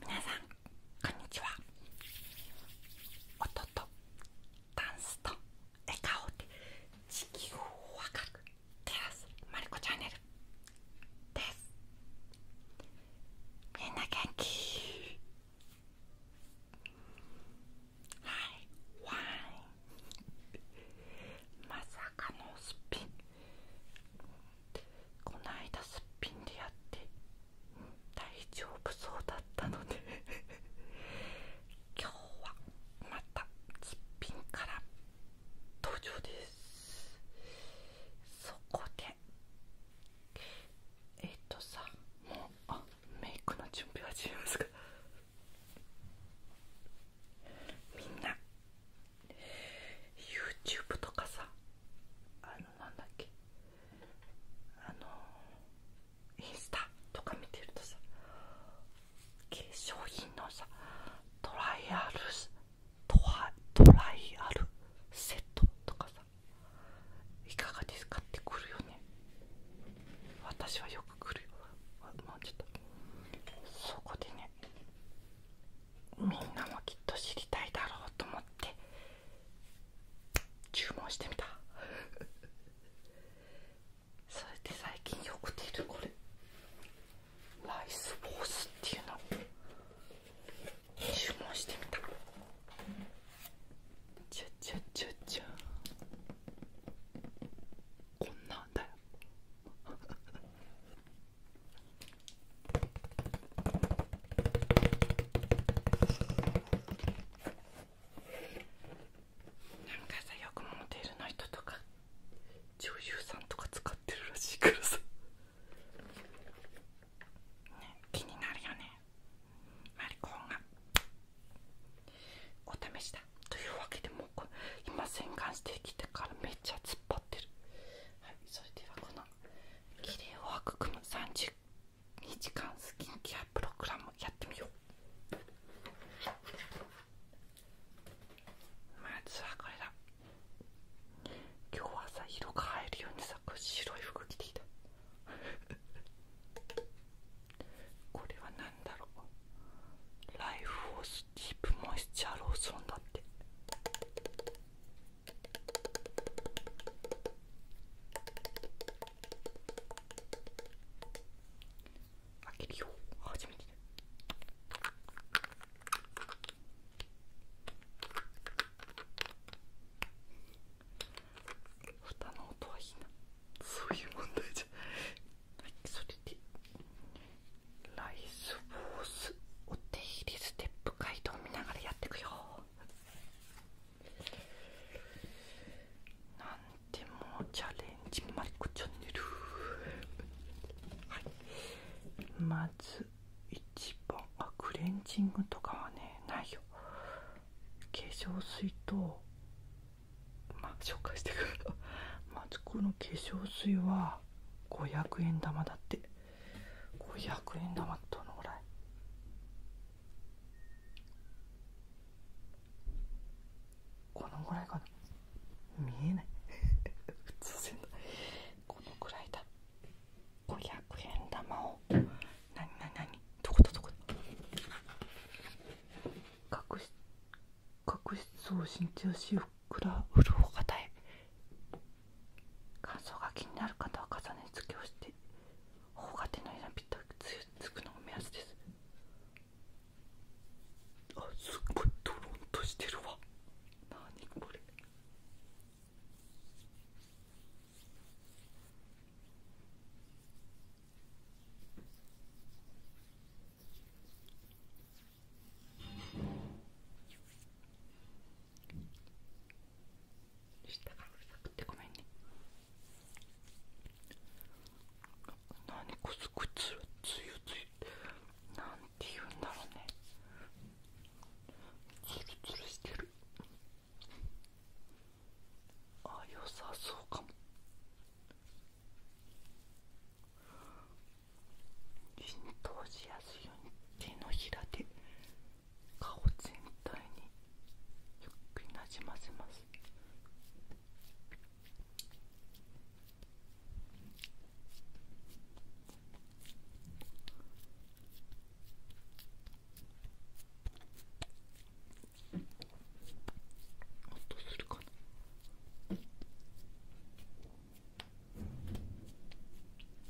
みなさんこんにちは音とダンスと笑顔で地球をわかく照らすまるこチャンネルですみんな元気はいワインまさかのスピンこの間すっぴんでやって、大丈夫そうだったので今日はまたすっぴんから登場ですそこでえっ、とさもうあメイクの準備始めますかみんな YouTube とかさあなんだっけあのインスタとか見てるとさ化粧品のさトライアルトラトライアルセットとかさいかがですかってくるよね私はよく来るよもうちょっとそこでねみんなもきっと知りたいだろうと思って注文してみた それで最近よく出るこれライスボースっていうの注文してみたちゃちゃちゃちゃこんなんだよなんかさよくモデルの人とか女優さんとか使ってるらしいからさ気になるよねマリコンがお試しだというわけでもう今洗顔してきてからめっちゃ突っ張ってるはいそれではこの綺麗を育む30時間スキンケアプログラムやってみようまずはこれだ今日はさ色が入るようにさ白い服着ていた これは何だろうライフフースディープモイスチャーローソンだって開けるよ初めて蓋の音はいいなそういう問題じゃはいそれでライスフォースお手入れステップ街答見ながらやっていくよ何でもチャレンジマリックチャンネルはいまず一番あクレンジングとかはねないよ化粧水とまあ紹介してくると。まずこの化粧水は500円玉だってこれ0 0円玉どのぐらいこのぐらいかな見えない 普通せんだこのぐらいだ500円玉をなになになにどこと。どこだ角質角質を新調しふくらうるおかたへ乾燥が気になる方は重ね付けをして頬が手のひらにぴったりつくのが目安ですあすっごいドロンとしてるわなにこれ下がうるさくてごめんね何こすくつるつゆつゆなんて言うんだろうねつるつるしてるあ良さそうかも浸透しやすいように手のひらで顔全体にゆっくりなじませます音するかな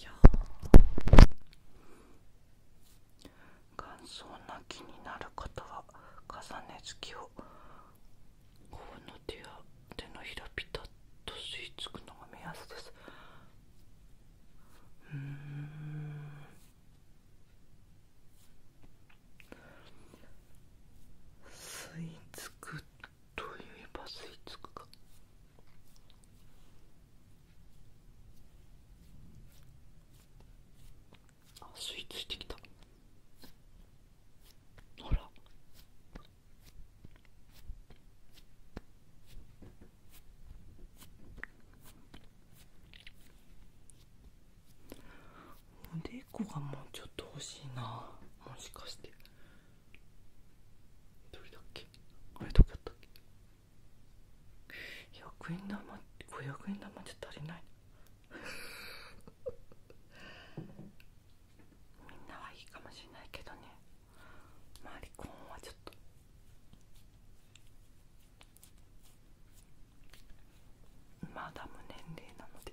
いや乾燥な気になる方は重ね付きをこの手や手のひらピタッと吸い付くのが目安ですうんスイーツクといえばスイーツクかあスイーツしてきたほらおでこがもうちょっと欲しいなもしかしてどれだっけあれどこだったっけ100円玉500円玉じゃ足りないみんなはいいかもしれないけどねマリコンはちょっとまだ無年齢なので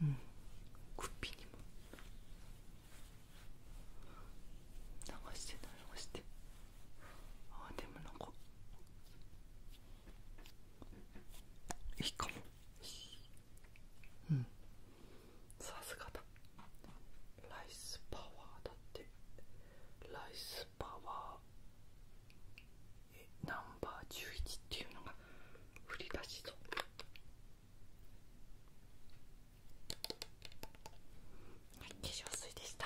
うんッピーにも流して流してああでもなんかいいかもうんさすがだライスパワーだってライスパワー。えナンバー11っていうのが振り出しとはい化粧水でした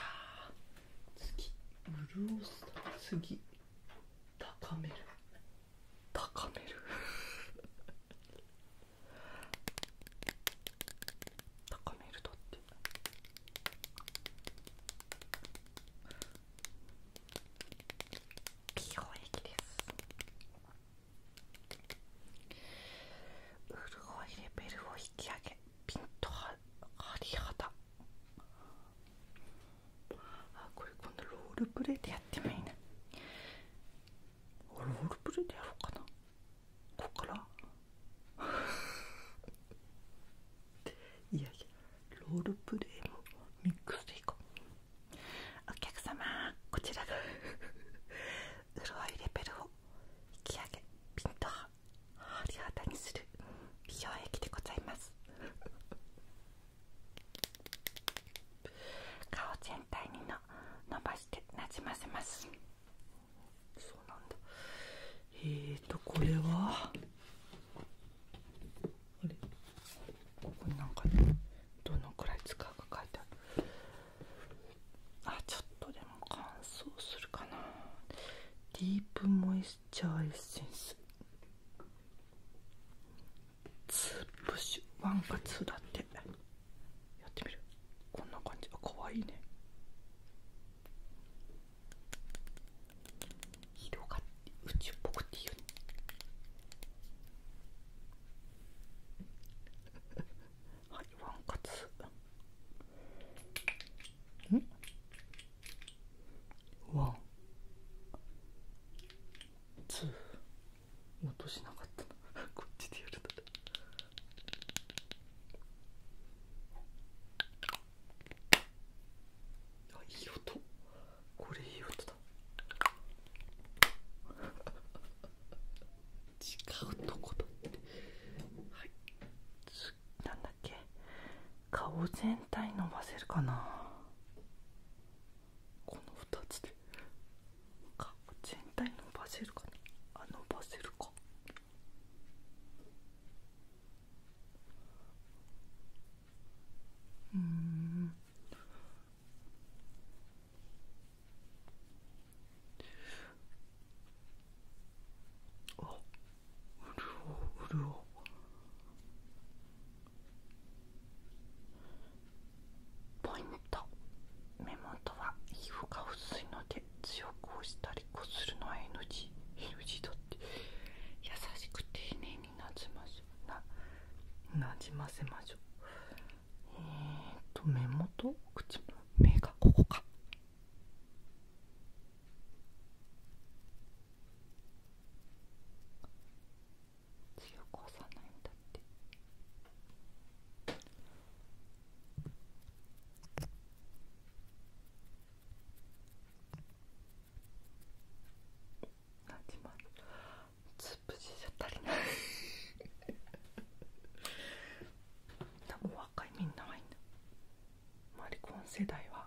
次ブルースター次高める高める高めるとってって美容液です潤いレベルを引き上げピンとはあこれ今度ロールプレイでやってもいいなロールプレイでやろうかなここから いやいやロールプレイもミックスでいこうお客様こちらが潤 いレベルを引き上げピンと張り肌にする美容液でございます顔全体にの伸ばしてなじませますそうなんだえっとこれはあれここになんかどのくらい使うか書いてあるあちょっとでも乾燥するかなディープモイスチャーエッセンスツープッシュワンかツだってやってみるこんな感じあかわいいね色が宇宙っぽくていいよね はいワンカツんワンツー落としなかったな こっちでやるとあいい音これいい音だ違うとこだってはいなんだっけ顔全体伸ばせるかなこの2つで顔全体伸ばせるかね。あ伸ばせるかうんあうるおうるおポイント目元は皮膚が薄いので強く押したりこするのは NG, NG だって優しく丁寧になじましょななじませましょうえっと目元口目がここか強く押さないんだって。ま8万潰しじゃ足りない多分若いみんなはいんだマリコン世代は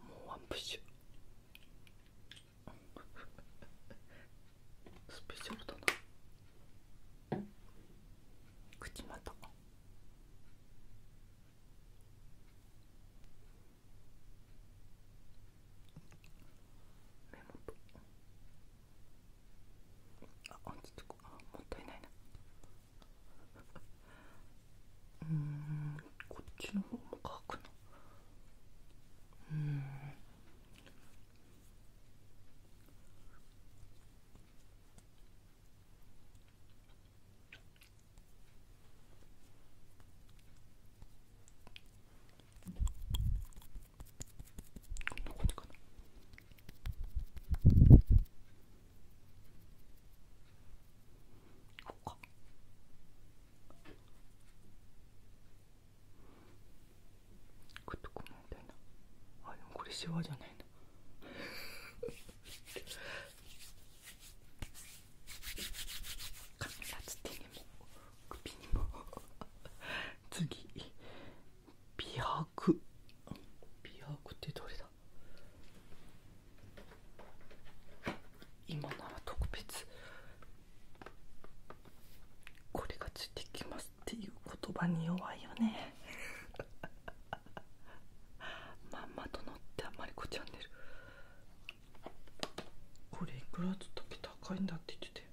もうワンプッシュスペシャルだな 口また目元あっちとこあもったいないなうんこっちの方も乾くの。うんどこにとこのみたでもこれシワじゃないなカメラつ手にも首にも次美白美白ってどれだ今なら特別これがついてきますっていう言葉に弱いよねマ んま殿ってあまりこチャンネルこれいくらずっとき高いんだって言ってて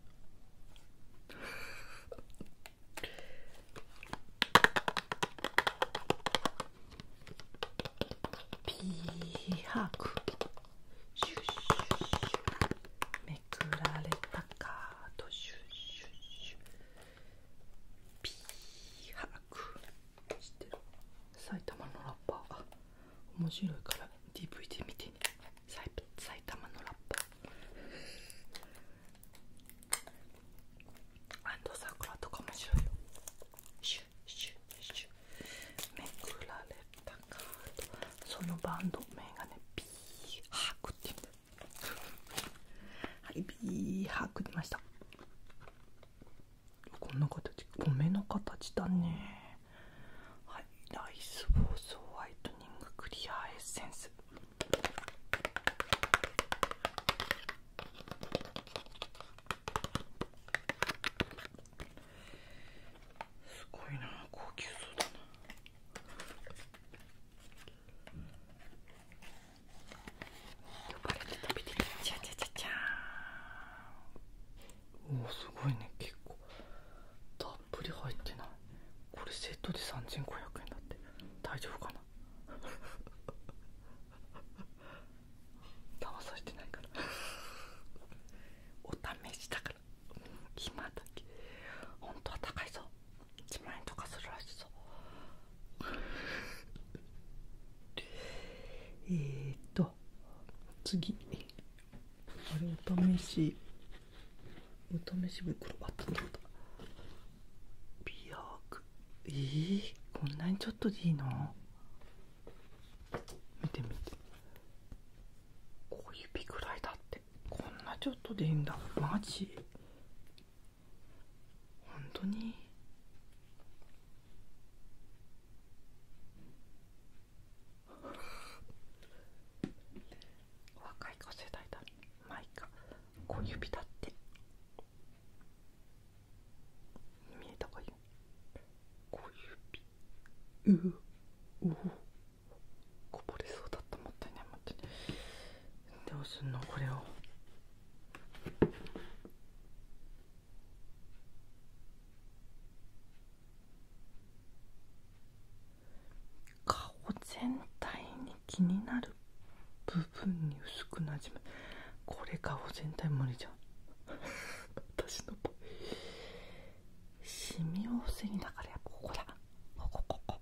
ピーハークシュッシュッシュめくられたカードシュッシュッシュピーハク知てる埼玉のラッパー面白いから DVD 見てね埼玉のラッパーアンドサクラとか面白いよシュシュシュめくられたカードそのバンド名がねピーハクってはいビーハーく出ましたこんな形米の形だねはいライスボースホワイトニングクリアエッセンスすごいな高級そうだな呼ばれて食べてたチャチャチャチャーおおすごいね結構たっぷり入ってないこれセットで3500円だって大丈夫かな騙されてないからお試しだから今だけ本当は高いぞ1万円とかするらしそうえーっと次あれお試しお試し袋あったんだった美容えー、こんなにちょっとでいいの見て見て小指ぐらいだってこんなちょっとでいいんだマジ本当に若い子世代だマイカ小指だって見えたかい小指うううこぼれそうだったもったいないもったいないどうすんのこれを顔全体に気になる部分に薄くなじむこれ顔全体無理じゃん 私のシミを防ぎだからやっぱここだここここ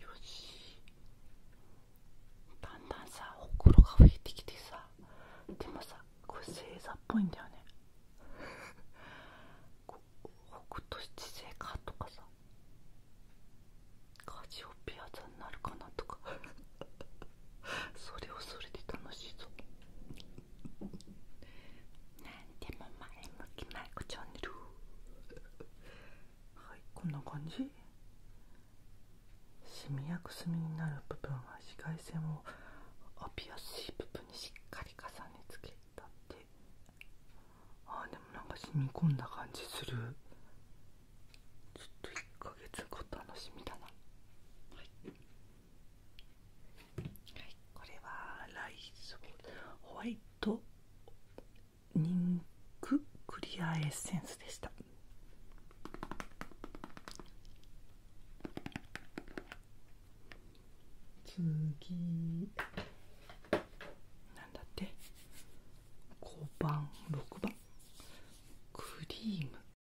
よしだんだんさ心が増えてきてさでもさこれ星座っぽいんだよね こ北斗七星かとかさカジオピア座になるかなとか それをそれで楽しいぞ何でも前向きまいこチャンネルはいこんな感じシミやくすみになる部分は紫外線を浴びやすい部分にしっかり重ね付けたってあーでもなんか染み込んだ感じするちょっと1ヶ月後楽しみだなはいはい、これはライスホワイトニンククリアエッセンスでした次なんだって5番6番クリーム